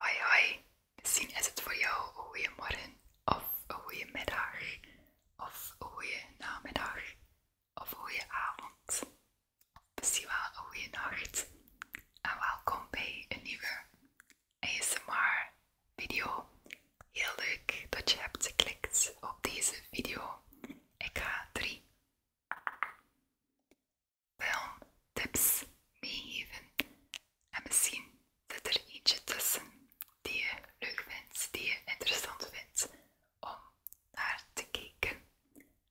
Hoi hoi, misschien is het voor jou een goeiemorgen of een goede middag, of een goede namiddag, of een goede avond, misschien wel een goede nacht. En welkom bij een nieuwe ASMR video. Heel leuk dat je hebt geklikt op deze video. Ik ga drie filmtips tips meegeven. En misschien zit er iets tussen die je leuk vindt, die je interessant vindt om naar te kijken.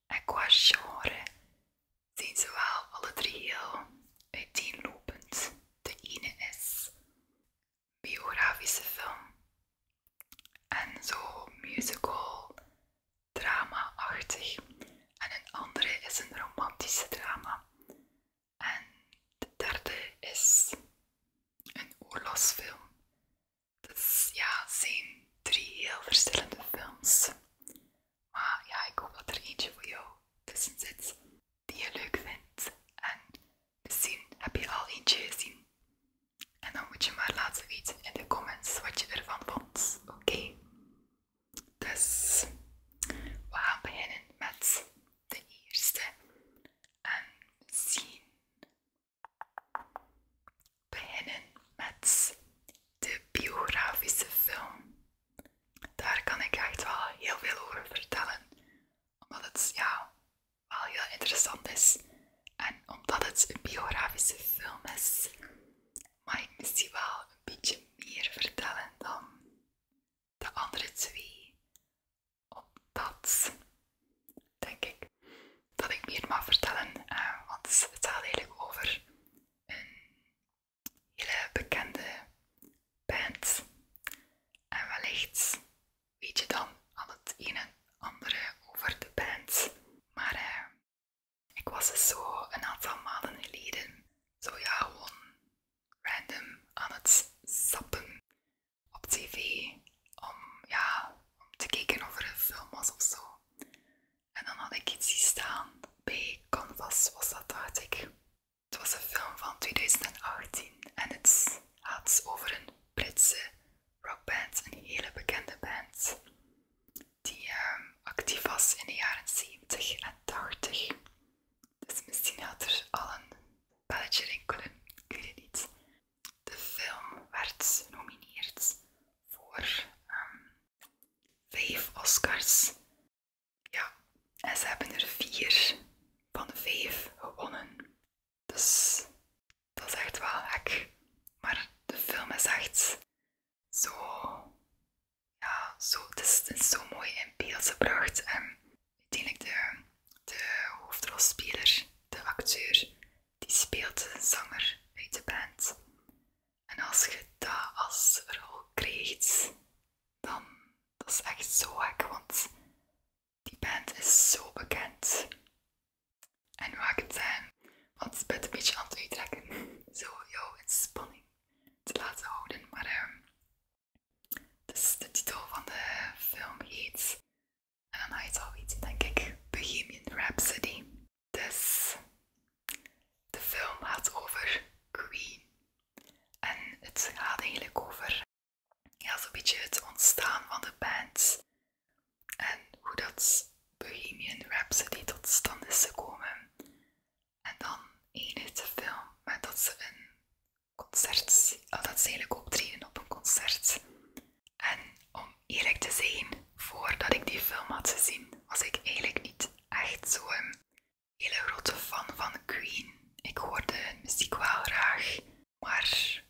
En qua genre zijn ze wel alle drie heel uiteenlopend. De ene is biografische film en zo musical drama-achtig. En een andere is een romantische drama. En de derde is een oorlogsfilm. Dus ja, het zijn drie heel verschillende films. Maar ja, ik hoop dat er eentje voor jou tussen zit die je leuk vindt. En misschien heb je al eentje gezien. En dan moet je maar laten weten in de comments wat je ervan vond. Oké? Dus we gaan beginnen met de eerste. En zien beginnen met de biografische film. Daar kan ik echt wel heel veel over vertellen, omdat het ja, wel heel interessant is en omdat het een biografische film is maar ik die wel een beetje meer vertellen dan de andere twee. Op dat denk ik, dat ik meer mag vertellen, eh, want het gaat eigenlijk over een hele bekende band. En wellicht weet je dan al het ene, en andere over de band, maar... Eh, ik was dus zo een aantal maanden geleden, zo ja, gewoon random aan het sappen op tv om, ja, om te kijken of er een film was of zo. En dan had ik iets zien staan bij Canvas, was dat dacht ik. Het was een film van 2018 en het gaat over een Britse rockband, een hele bekende band die ehm, actief was in de jaren 70 en 80. Dus misschien had er al een belletje rinkelen, ik weet het niet. De film werd genomineerd voor ehm, vijf Oscars. Ja, en ze hebben er vier van de vijf gewonnen. Dus dat is echt wel hek. Maar de film is echt zo, ja, zo, het is, zo mooi in beeld gebracht. En uiteindelijk de, de hoofdrolspeler, de acteur, die speelt een zanger uit de band. En als je dat als rol krijgt, dan dat is echt zo gek, want die band is zo bekend. En maak het zijn, eh, want het best een beetje aan het uittrekken. Zo jouw spanning te laten houden. Maar dus de titel van de film heet, en dan heet het al denk ik, Bohemian Rhapsody. Dus de film gaat over Queen. En het gaat eigenlijk over ja, zo'n beetje het ontstaan van de band en hoe dat Bohemian Rhapsody tot stand is gekomen. En dan eindigt de film met dat ze een concert, oh, dat ze eigenlijk optreden op een concert. En om eerlijk te zijn, voordat ik die film had gezien, was ik eigenlijk niet echt zo'n hele grote fan van Queen. Ik hoorde hun muziek wel graag, maar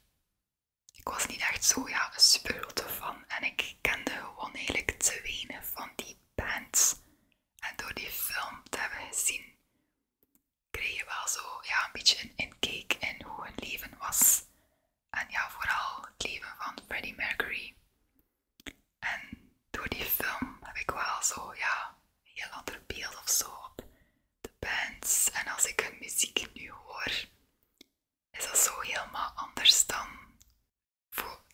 ik was niet echt zo ja, een super grote fan en ik kende gewoon eigenlijk te weinig van die bands. En door die film te hebben gezien, kreeg je wel zo ja, een beetje een inkeek in hoe hun leven was. En ja, vooral het leven van Freddie Mercury. En door die film heb ik wel zo, ja, een heel ander beeld of zo op de bands. En als ik hun muziek nu hoor, is dat zo helemaal anders dan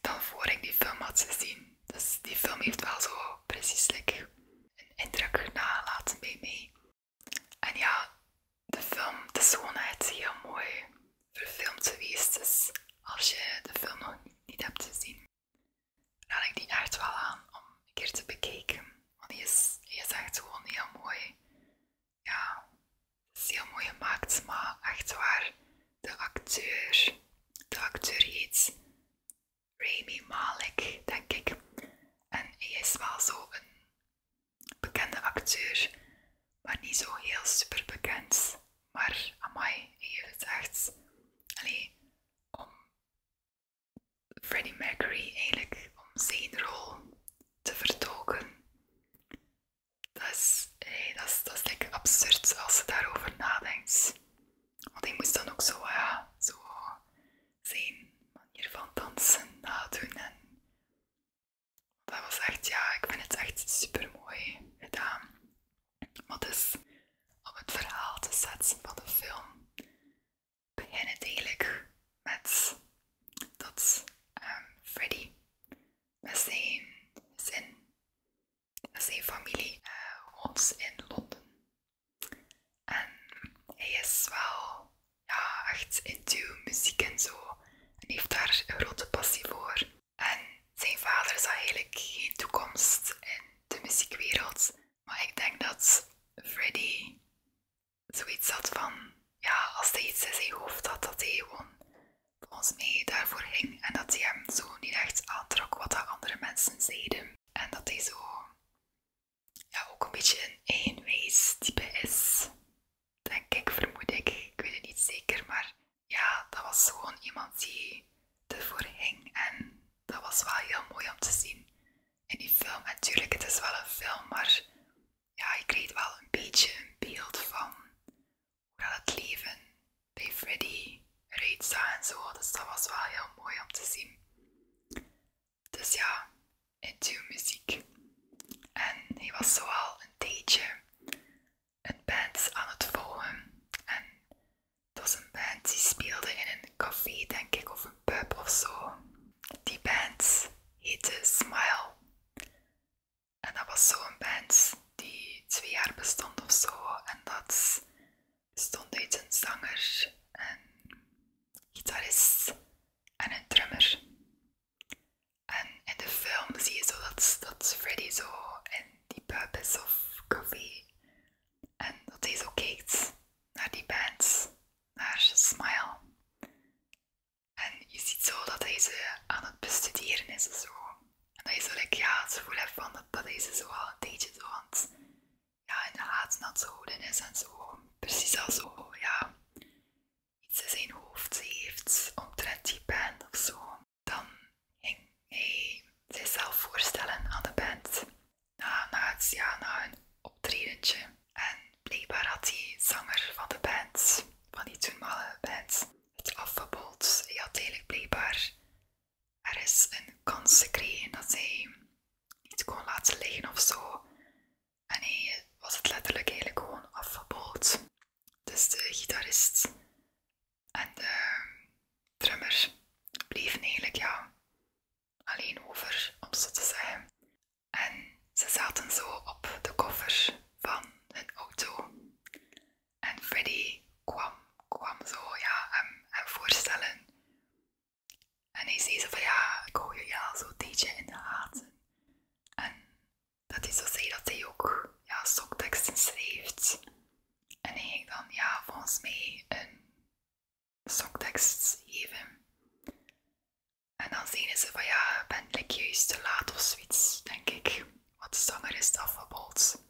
dan voor ik die film had gezien. Dus die film heeft wel zo precies een indruk nalaten bij mij. En ja, de film, de is gewoon heel mooi verfilmd geweest. Dus als je de film nog niet, hebt gezien, raad ik die echt wel aan om een keer te bekijken. Want die is, die is echt gewoon heel mooi ja, het is heel mooi gemaakt, maar echt waar, de acteur, de acteur heet Rami Malek, denk ik. En hij is wel zo een bekende acteur, maar niet zo heel super bekend. Maar amai, hij heeft het echt. alleen om Freddie Mercury eigenlijk om zijn rol te vertolken. Dat is, dat is, dat is absurd als ze daarover nadenkt. Want ik moest dan ook zo, ja, zo zijn manier van dansen nadoen. En dat was echt, ja, ik vind het echt super mooi gedaan. Maar dus, om het verhaal te zetten van de film, beginnen het eigenlijk met dat ehm, Freddy met zijn zijn familie, woont eh, in Londen. En hij is wel ja, echt into muziek en zo en heeft daar een grote passie voor. En zijn vader zag eigenlijk geen toekomst in de muziekwereld, maar ik denk dat Freddy zoiets had van, ja, als hij iets in zijn hoofd had, dat hij gewoon ons mee daarvoor ging en dat hij hem zo niet echt aantrok wat andere mensen zeiden. En dat hij zo ja, ook een beetje een eenwijs type is. Denk ik, vermoed ik. Ik weet het niet zeker, maar ja, dat was gewoon iemand die ervoor ging en dat was wel heel mooi om te zien in die film. En natuurlijk, het is wel een film, maar ja, ik kreeg wel een beetje een beeld van Hoewel het leven bij Freddy Rita en zo, dus dat was wel heel mooi om te zien. Dus ja, into muziek. En hij was zo al een tijdje een band aan het volgen. En het was een band die speelde in een café, denk ik, of een pub of zo. Die band heette Smile. En dat was zo'n band die twee jaar bestond of zo. En dat stond uit een zanger, een gitarist en een drummer. En in de film zie je zo dat, dat Freddy zo in die purpose of coffee En dat hij zo kijkt naar die band, naar Smile. En je ziet zo dat hij ze aan het bestuderen is zo. En dat je zo dat ja, het gevoel hebt van dat, dat hij ze zo al een tijdje zo aan ja, in de gaten houden is en zo. Precies als zo, oh, ja, iets in zijn hoofd heeft omtrent die band of zo. Dan ging hij zichzelf voorstellen aan de band na, na, ja, een optredentje. En blijkbaar had die zanger van de band, van die toenmalige band, het afgebod. Hij had eigenlijk blijkbaar is een kans gekregen dat hij niet kon laten liggen of zo. En hij was het letterlijk eigenlijk gewoon afgebod. Dus de gitarist en de drummer bleven eigenlijk ja, alleen over, om zo te zeggen. En ze zaten zo op de koffer van hun auto. En Freddy kwam, kwam zo ja, hem, hem voorstellen. En hij zei zo van ja, ik hou je al zo'n tijdje in de gaten. En dat hij zo zei dat hij ook ja, songteksten schrijft. En hij ging dan ja, volgens mij een soktekst geven. En dan zeggen ze van ja, ben ik juist te laat of zoiets, denk ik. wat de zanger is bijvoorbeeld.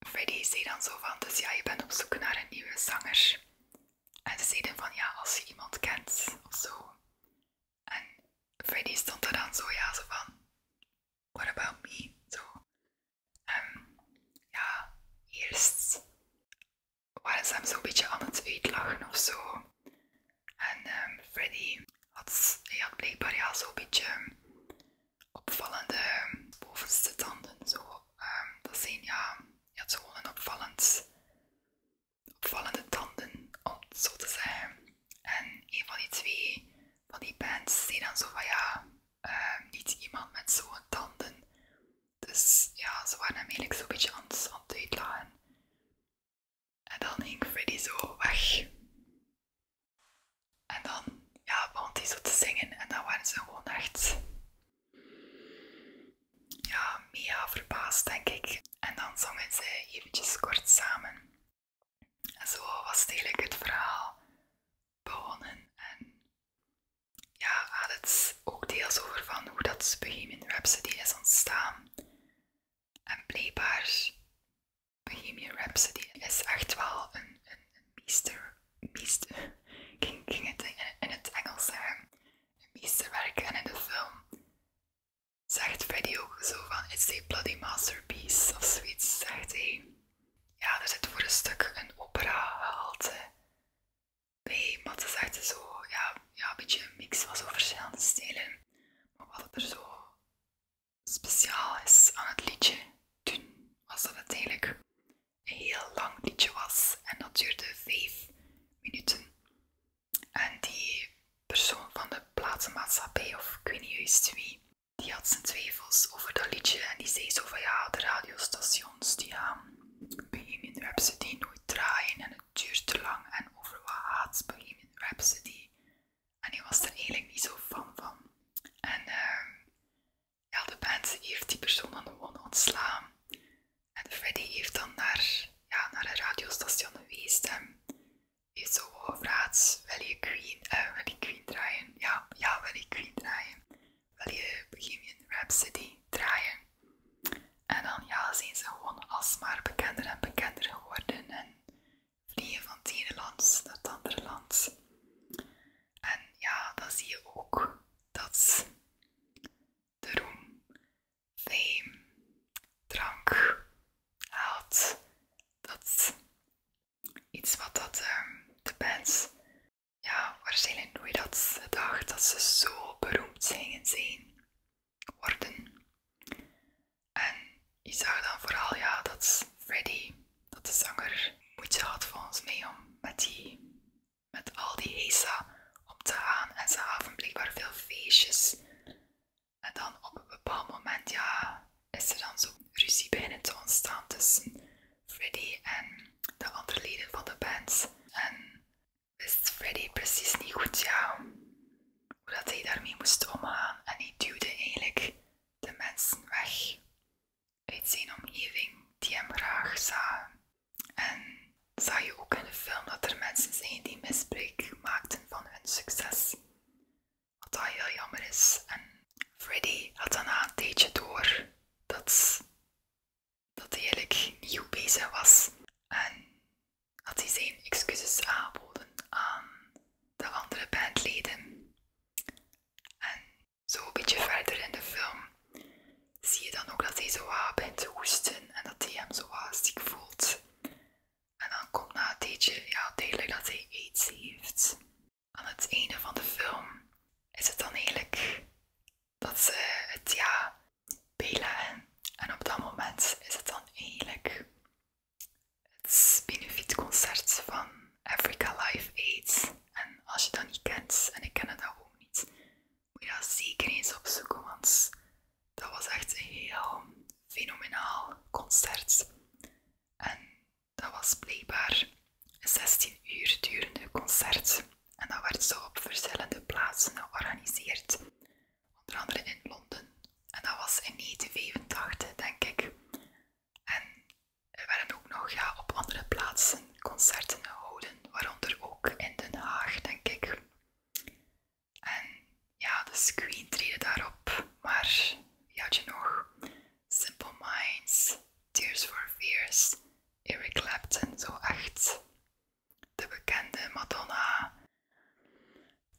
Freddy zei dan zo van, dus ja, je bent op zoek naar een nieuwe zanger. En ze zeiden van ja, als je iemand kent of zo. En Freddy stond er dan zo, ja, zo van, what about me? Zo. ja, eerst waren ze hem zo'n beetje aan het uitlachen of zo. En ehm, Freddy had, hij had blijkbaar ja, zo'n beetje opvallende bovenste tanden. Zo, ehm, dat zijn ja, je had gewoon een opvallende tanden, om zo te zeggen. En een van die twee van die bands zei dan zo van ja, ehm, niet iemand met zo'n tanden. Dus ja, ze waren hem eigenlijk zo'n beetje aan, aan het uitlachen. En dan ging Freddy zo weg. En dan ja, begon hij zo te zingen en dan waren ze gewoon echt ja, mega verbaasd, denk ik. En dan zongen ze eventjes kort samen. En zo was het eigenlijk het verhaal begonnen. En ja, had het ook deels over van hoe dat Bohemian Rhapsody is ontstaan. En blijkbaar, Bohemian Rhapsody is echt wel een, een, een meester, meester, ging, ging het in, in, het Engels zeggen, een meesterwerk. En in de film zegt Freddy ook zo van, it's a bloody masterpiece, of zoiets, zegt hij. Ja, er zit voor een stuk een opera gehaald. bij, maar ze is zo, ja, ja, een beetje een mix van zo verschillende stijlen. Maar wat er zo speciaal is aan het liedje toen, was dat het eigenlijk een heel lang liedje was. En dat duurde vijf minuten. En die persoon van de platenmaatschappij, of ik weet die had zijn twijfels over dat liedje. En die zei zo van ja, de radiostations die gaan Bohemian Rhapsody nooit draaien. En het duurt te lang. En over wat gaat Bohemian Rhapsody? en die was er eigenlijk niet zo fan van. En ehm, ja, de band heeft die persoon dan gewoon ontslaan. En Freddy heeft dan naar, ja, naar een radiostation geweest en heeft zo gevraagd, wil je Queen, eh, wil je Queen draaien? Ja, ja, wil je Queen draaien? Wil je Bohemian Rhapsody draaien? En dan ja, zijn ze gewoon alsmaar bekender en bekender geworden. En vliegen van het ene land naar het andere land. En ja, dan zie je ook dat de roem, fame, drank, haat, dat iets wat dat, ehm, de bands, ja, waarschijnlijk nooit dat gedacht dat ze zo beroemd gingen zijn worden. En je zag dan vooral ja, dat Freddy, dat de zanger, moeite had volgens mee om met, die, met al die heisa op te gaan. En ze hadden blijkbaar veel feestjes. En dan op een bepaald moment ja, is er dan zo'n ruzie binnen te ontstaan tussen Freddy en de andere leden van de band. En wist Freddy precies niet goed ja, hoe dat hij daarmee moest omgaan en hij duwde eigenlijk de mensen weg uit zijn omgeving die hem graag zagen. En zag je ook in de film dat er mensen zijn die misbruik maakten van hun succes. Wat dat heel jammer is. En Freddy had dan een tijdje door dat, dat hij eigenlijk nieuw bezig was. En dat hij zijn excuses aanboden aan de andere bandleden. En zo een beetje verder in de film zie je dan ook dat hij zo wat begint te hoesten en dat hij hem zo lastig ziek voelt. En dan komt na een tijdje ja, duidelijk dat hij aids heeft. Aan het einde van de film is het dan eigenlijk dat ze het ja bijleggen. En op dat moment is het dan eigenlijk het concert van Africa Live AIDS. En als je dat niet kent, en ik ken dat ook niet, moet je dat zeker eens opzoeken, want dat was echt een heel fenomenaal concert. En dat was blijkbaar een 16 uur durende concert. En dat werd zo op verschillende plaatsen georganiseerd onder andere in Londen. En dat was in 1985, denk ik. En er werden ook nog ja, op andere plaatsen concerten gehouden, waaronder ook in Den Haag, denk ik. En ja, de screen treden daarop, maar wie had je nog? Simple Minds, Tears for Fears, Eric Clapton, zo echt de bekende Madonna.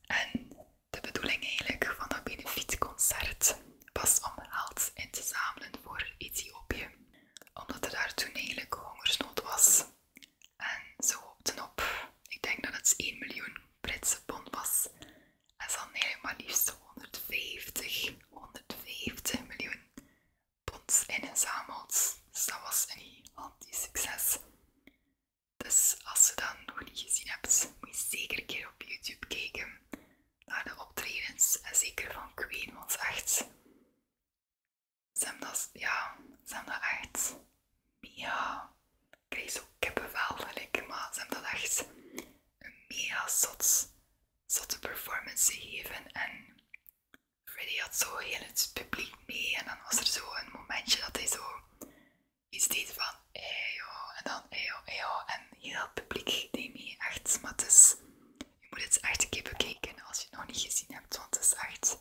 En de bedoeling eigenlijk van dat benefietconcert was om geld in te zamelen voor Ethiopië, omdat er daar toen eigenlijk hongersnood was. En ze hoopten op, ik denk dat het 1 miljoen Britse pond was. En ze hadden eigenlijk maar liefst 150, 150 miljoen pond ingezameld. Dus dat was een gigantisch succes. Dus als je dat nog niet gezien hebt, moet je zeker keer op YouTube kijken naar de optredens. En zeker van Queen, want echt, ze hebben dat, ja, ze hebben dat echt mega. Ik krijg zo kippenvel, gelijk, maar ze hebben dat echt een mega zot, zotte performance gegeven. En Freddy had zo heel het publiek mee en dan was er zo een momentje dat hij zo is dit van ejo en dan ejo, ejo en heel het publiek die mee echt, maar je moet het echt een keer bekijken als je het nog niet gezien hebt, want het is echt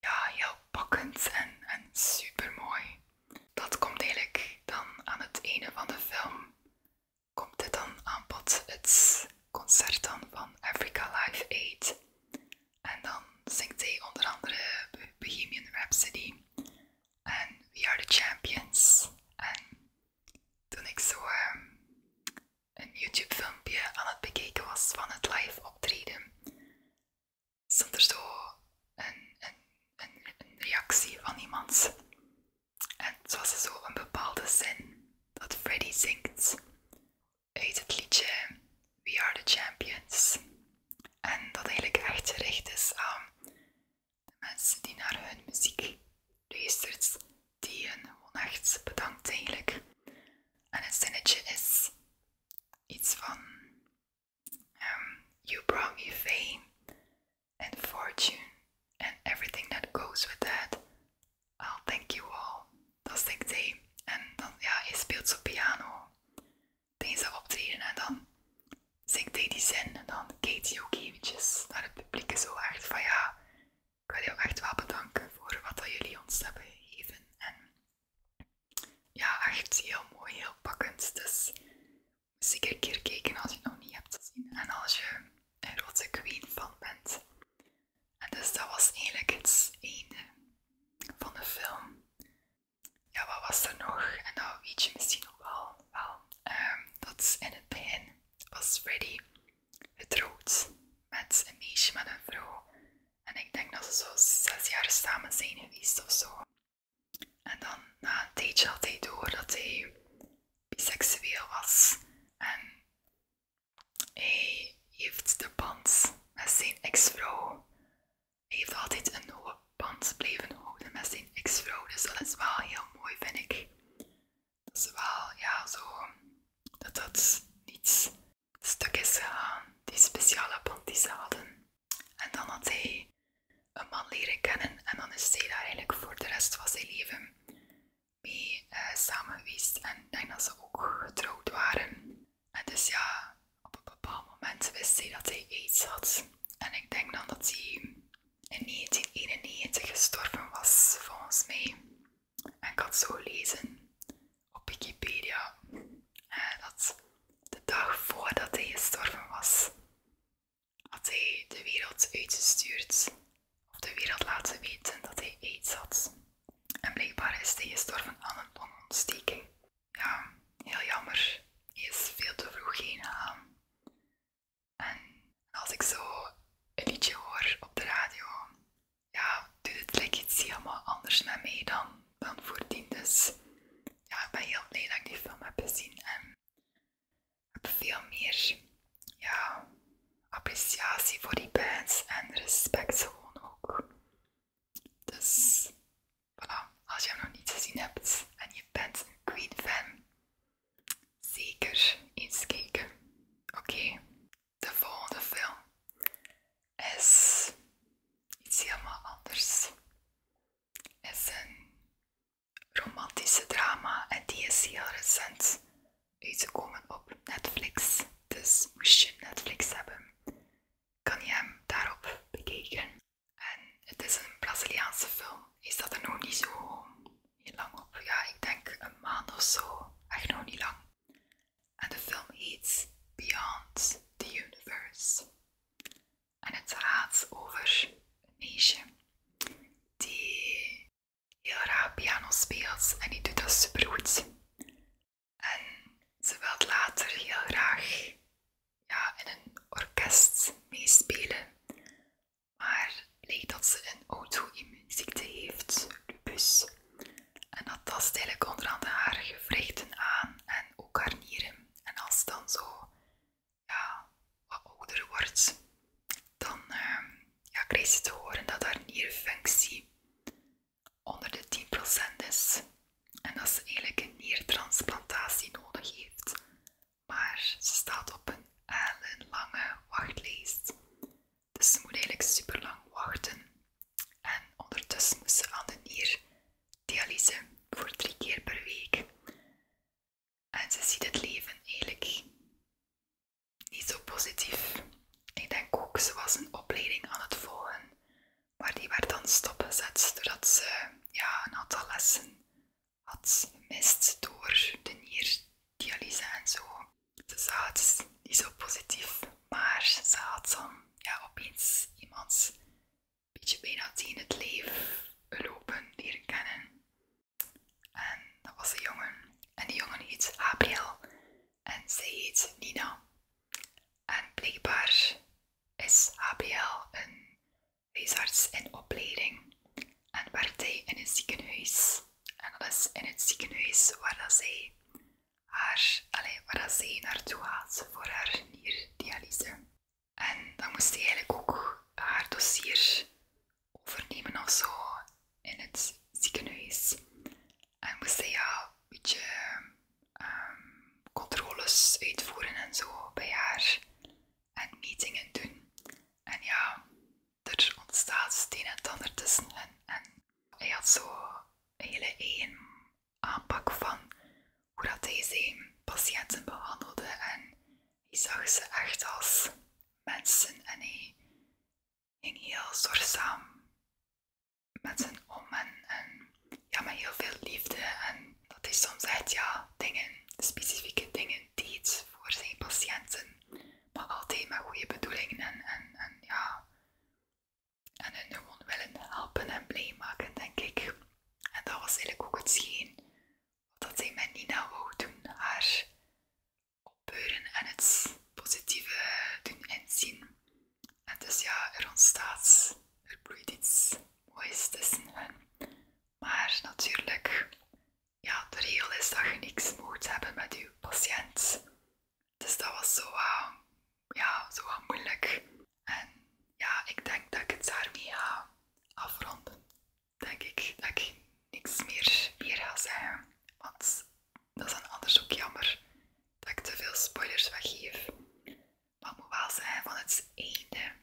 ja, heel pakkend en, super mooi. Dat komt eigenlijk dan aan het einde van de film, komt dit dan aan bod, het concert dan van Africa Live Aid. En dan zingt hij onder andere Bohemian Rhapsody en We Are The Champions. En toen ik zo ehm, een YouTube filmpje aan het bekeken was van het live optreden, stond er zo een, reactie van iemand. En het was zo een bepaalde zin dat Freddy zingt. uit het liedje We Are The Champions. En dat eigenlijk echt gericht is aan de mensen die naar hun muziek luistert, die hun gewoon echt eigenlijk. En het zinnetje is iets van ehm, You brought me fame and fortune and everything that goes with that. I'll thank you all Dat zingt hij. En dan, ja, hij speelt zo piano tijdens dat optreden en dan zingt hij die zin en dan kijkt hij ook eventjes naar het publiek zo echt van ja, ik wil ook echt wel bedanken voor wat jullie ons hebben gegeven. En ja, echt heel mooi, heel pakkend. Dus zeker een keer kijken als je het nog niet hebt gezien. En als je een grote Queen fan bent, en dus dat was eigenlijk het einde van de film. Ja, wat was er nog? En dat weet je misschien nog wel. wel ehm, dat in het begin was Freddy getrouwd met een meisje, met een vrouw. En ik denk dat ze zo zes jaar samen zijn geweest of zo. En dan na een tijdje had hij door dat hij biseksueel was. En hij heeft de band met zijn ex-vrouw. Hij heeft altijd een hoge band blijven houden met zijn ex-vrouw, dus dat is wel heel mooi, vind ik. Dat is wel, ja, zo, dat dat niet stuk is gegaan, die speciale band die ze hadden. En dan had hij een man leren kennen en dan is hij daar eigenlijk voor de rest van zijn leven mee eh, samengeweest. en ik denk dat ze ook getrouwd waren. En dus ja, op een bepaald moment wist hij dat hij aids had. En ik denk dan dat hij in 1991 gestorven was, volgens mij. En ik had zo lezen op Wikipedia dat de dag voordat hij gestorven was, had hij de wereld uitgestuurd of de wereld laten weten dat hij aids had. En blijkbaar is hij gestorven aan een longontsteking. Ja, heel jammer. Hij is veel te vroeg heen gegaan. En als ik zo een liedje hoor op de radio, ja, doe het lekker iets helemaal anders met mij dan, dan voordien. Dus ja, ik ben heel blij dat ik die film heb gezien en heb veel meer ja, appreciatie voor die bands en respect gewoon ook. Dus voilà, als je hem nog niet gezien hebt en je bent een Queen fan, zeker eens kijken. Oké, de volgende film is iets helemaal anders. Is een romantische drama en die is heel recent uitgekomen op Netflix. Dus moest je Netflix hebben, kan je hem daarop bekeken En het is een Braziliaanse film. Is dat er nog niet zo heel lang op? Ja, ik denk een maand of zo. Echt nog niet lang. En de film heet Beyond the Universe. En het gaat over een meisje die heel raar piano speelt en die doet dat supergoed. En ze wil later heel graag ja, in een orkest meespelen, maar leek dat ze een auto-immuunziekte heeft, lupus. En dat tast eigenlijk onder andere haar gewrichten aan en ook haar nieren. En als ze dan zo ja, wat ouder wordt, dan uh, ja, krijgt ze te horen dat haar nierfunctie onder de 10% is en dat ze eigenlijk een niertransplantatie nodig heeft. Maar ze staat op een hele lange wachtlijst. Dus ze moet eigenlijk super lang wachten. En ondertussen moet ze aan de nier dialyse voor drie keer per week. En ze ziet het leven eigenlijk niet zo positief. Ik denk ook, ze was een opleiding aan het volgen maar die werd dan stopgezet doordat ze ja, een aantal lessen had gemist door de nierdialyse en zo. Ze zag ah, niet zo positief, maar ze had dan ja, opeens iemand een beetje bijna in het leven lopen leren kennen. En dat was een jongen. En die jongen heet Abriel en zij heet Nina. En blijkbaar is HBL een huisarts in opleiding en werkt hij in een ziekenhuis. En dat is in het ziekenhuis waar dat zij, haar, allez, waar dat zij naartoe gaat voor haar nierdialyse. En dan moest hij eigenlijk ook haar dossier overnemen of zo in het ziekenhuis. En moest ja, een beetje ehm, controles uitvoeren en zo bij haar. En meetingen doen. En ja, er ontstaat steen en ander tussen En hij had zo een hele eigen aanpak van hoe dat hij zijn patiënten behandelde. En hij zag ze echt als mensen en hij ging heel zorgzaam mensen om en, ja, met heel veel liefde. En dat is soms echt ja, dingen, specifieke dingen die iets voor zijn patiënten, maar altijd met goede bedoelingen en, en, ja, en hun gewoon willen helpen en blij maken, denk ik. En dat was eigenlijk ook hetgeen dat zij met Nina wou doen, haar opbeuren en het positieve doen inzien. En dus ja, er ontstaat, er bloeit iets moois tussen hen. Maar natuurlijk, ja, de regel is dat je niks moet hebben met je patiënt. Dus dat was zo, ja, zo moeilijk. En ja, ik denk dat ik het daarmee ga afronden. Denk ik dat ik niks meer, meer ga zeggen. Want dat is dan anders ook jammer dat ik te veel spoilers weggeef. Maar het moet wel zijn, van het ene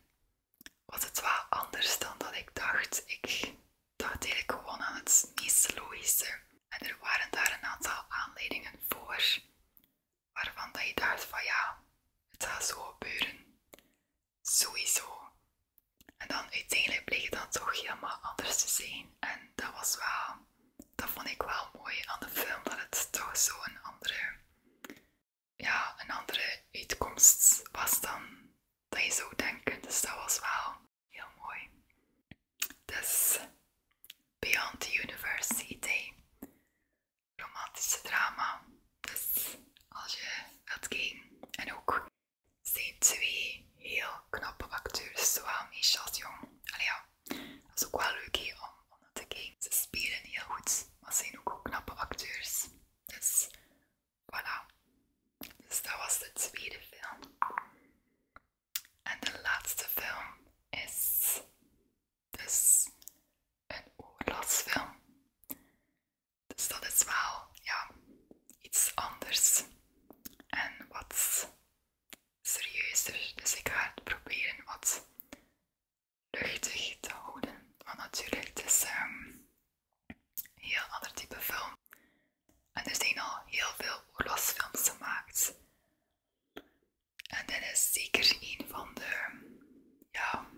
was het wel anders dan dat ik dacht. Ik dacht eigenlijk gewoon aan het meest logische. En er waren daar een aantal aanleidingen voor, waarvan dat je dacht van ja, het zal zo gebeuren. Sowieso. En dan uiteindelijk bleek het dan toch helemaal anders te zijn. En dat was wel dat vond ik wel mooi aan de film, dat het toch zo'n andere, ja, een andere uitkomst was dan dat je zou denken. Dus dat was wel heel mooi. Dus Beyond the University, romantische drama. Dus als je wilt ging En ook zijn twee heel knappe acteurs, zowel Michel Jong, allee ja, dat is ook wel leuk om, te kijken. Ze spelen heel goed, maar ze zijn ook, knappe acteurs. Dus voilà. Dus dat was de tweede film. En de laatste film is dus een oorlogsfilm. Dus dat is wel ja, iets anders. En wat serieuzer. Dus ik ga het proberen wat luchtig te houden. Want natuurlijk, het is ehm, een heel ander type film. En er zijn al heel veel oorlogsfilms gemaakt. En dit is zeker een van de, ja,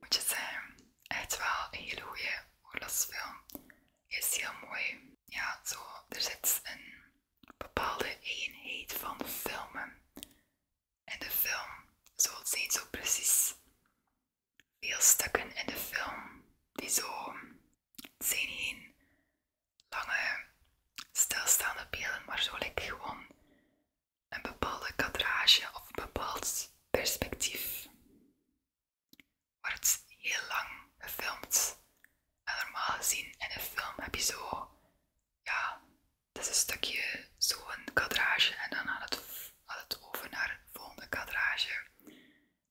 moet je zeggen, echt wel een hele goede oorlogsfilm. Het is heel mooi ja, er zit een bepaalde eenheid van filmen. En de film, zo, het zijn zo precies veel stukken in de film die zo, zijn geen lange stilstaande beelden, maar zo like, gewoon een bepaalde kadrage of een bepaald perspectief. Wordt heel lang gefilmd en normaal gezien in een film heb je zo, ja, dat is een stukje zo'n kadrage en dan gaat het, het over naar het volgende kadrage.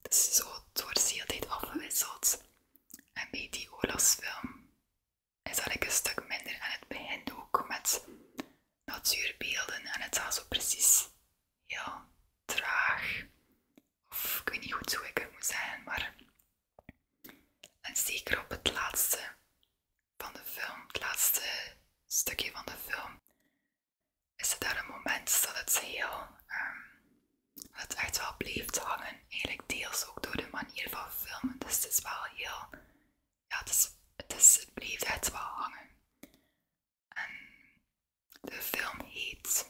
Dus zo, het wordt de hele tijd afgewisseld. En bij die film is dat ik een stuk minder aan het begint ook met natuurbeelden en het was zo precies heel traag. Of ik weet niet goed hoe ik het moet zeggen, maar en zeker op het laatste van de film, het laatste stukje van de film, is het daar een moment dat het heel, ehm, het echt wel bleef hangen. Eigenlijk deels ook door de manier van filmen. Dus het is wel heel, ja, het, is, het, is, bleef echt wel hangen. En de film heet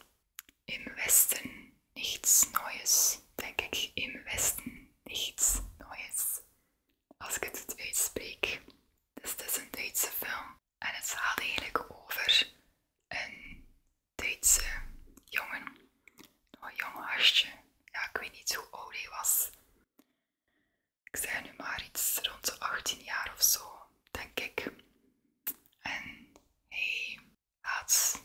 Im Westen nichts Neues. Denk ik, im Westen niets Neues. Als ik het uitspreek. Dus het is een Duitse film. En het gaat eigenlijk over een Duitse jongen. Een jong hartje. Ja, ik weet niet hoe oud hij was. Ik zei nu maar iets rond de 18 jaar of zo, denk ik. En hij gaat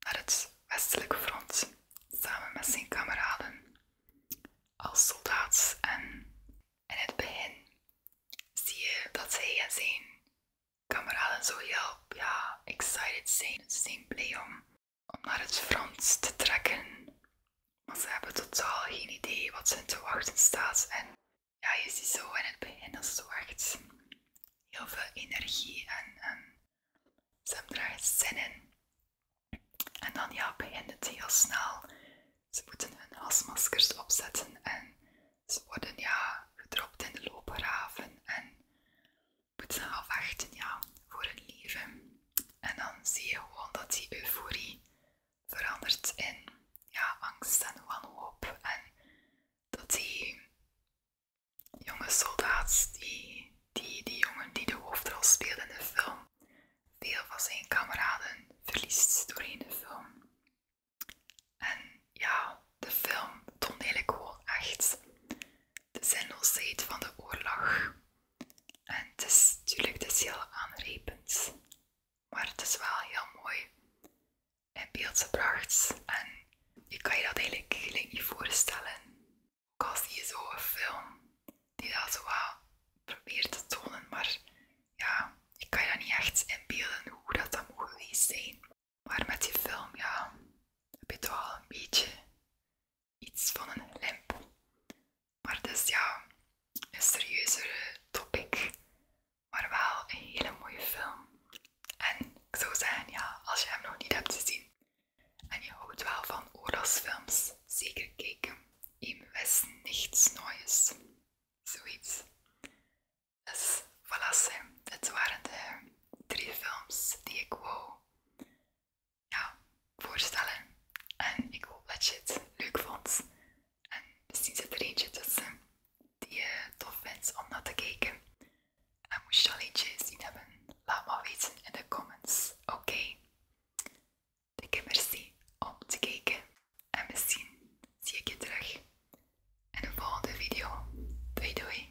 naar het westelijke front samen met zijn kameraden als soldaat. En in het begin zie je dat hij en zijn kameraden zo heel ja, excited zijn. Ze zijn blij om, naar het front te trekken. want ze hebben totaal geen idee wat ze te wachten staat. En ja, je ziet zo in het begin als ze zo echt heel veel energie en, ze hebben er zin in. En dan ja, begint het heel snel. Ze moeten hun asmaskers opzetten en ze worden ja, gedropt in de loopgraven en moeten afwachten ja, voor hun leven. En dan zie je gewoon dat die euforie verandert in ja, angst en wanhoop en dat die jonge soldaat, die, die, die jongen die de hoofdrol speelde in de film, veel van zijn kameraden verliest doorheen de film. En ja, de film toont eigenlijk gewoon echt de zinloosheid van de oorlog. En het is natuurlijk dus heel aanrepend, maar het is wel heel mooi in beeld gebracht. En je kan je dat eigenlijk, eigenlijk niet voorstellen. Ook al zie je zo'n film die dat zo probeert te tonen, maar ja, je kan je dat niet echt inbeelden hoe dat dan moet geweest zijn. Maar met die film, ja, heb je toch al een beetje iets van een limp. Maar dus ja, een serieuzere topic maar wel een hele mooie film. En ik zou zeggen, ja, als je hem nog niet hebt gezien en je houdt wel van oorlogsfilms, zeker kijken. Im is niets noois. Zoiets. Dus, voilà, Dit waren de drie films die ik wou ja, voorstellen. En ik hoop dat je het leuk vond. En misschien zit er eentje tussen die je tof vindt om naar te kijken. En moest je al gezien hebben, laat maar weten in de comments, oké? Okay? Dikke merci om te kijken en misschien zie ik je terug in een volgende video. Doei doei!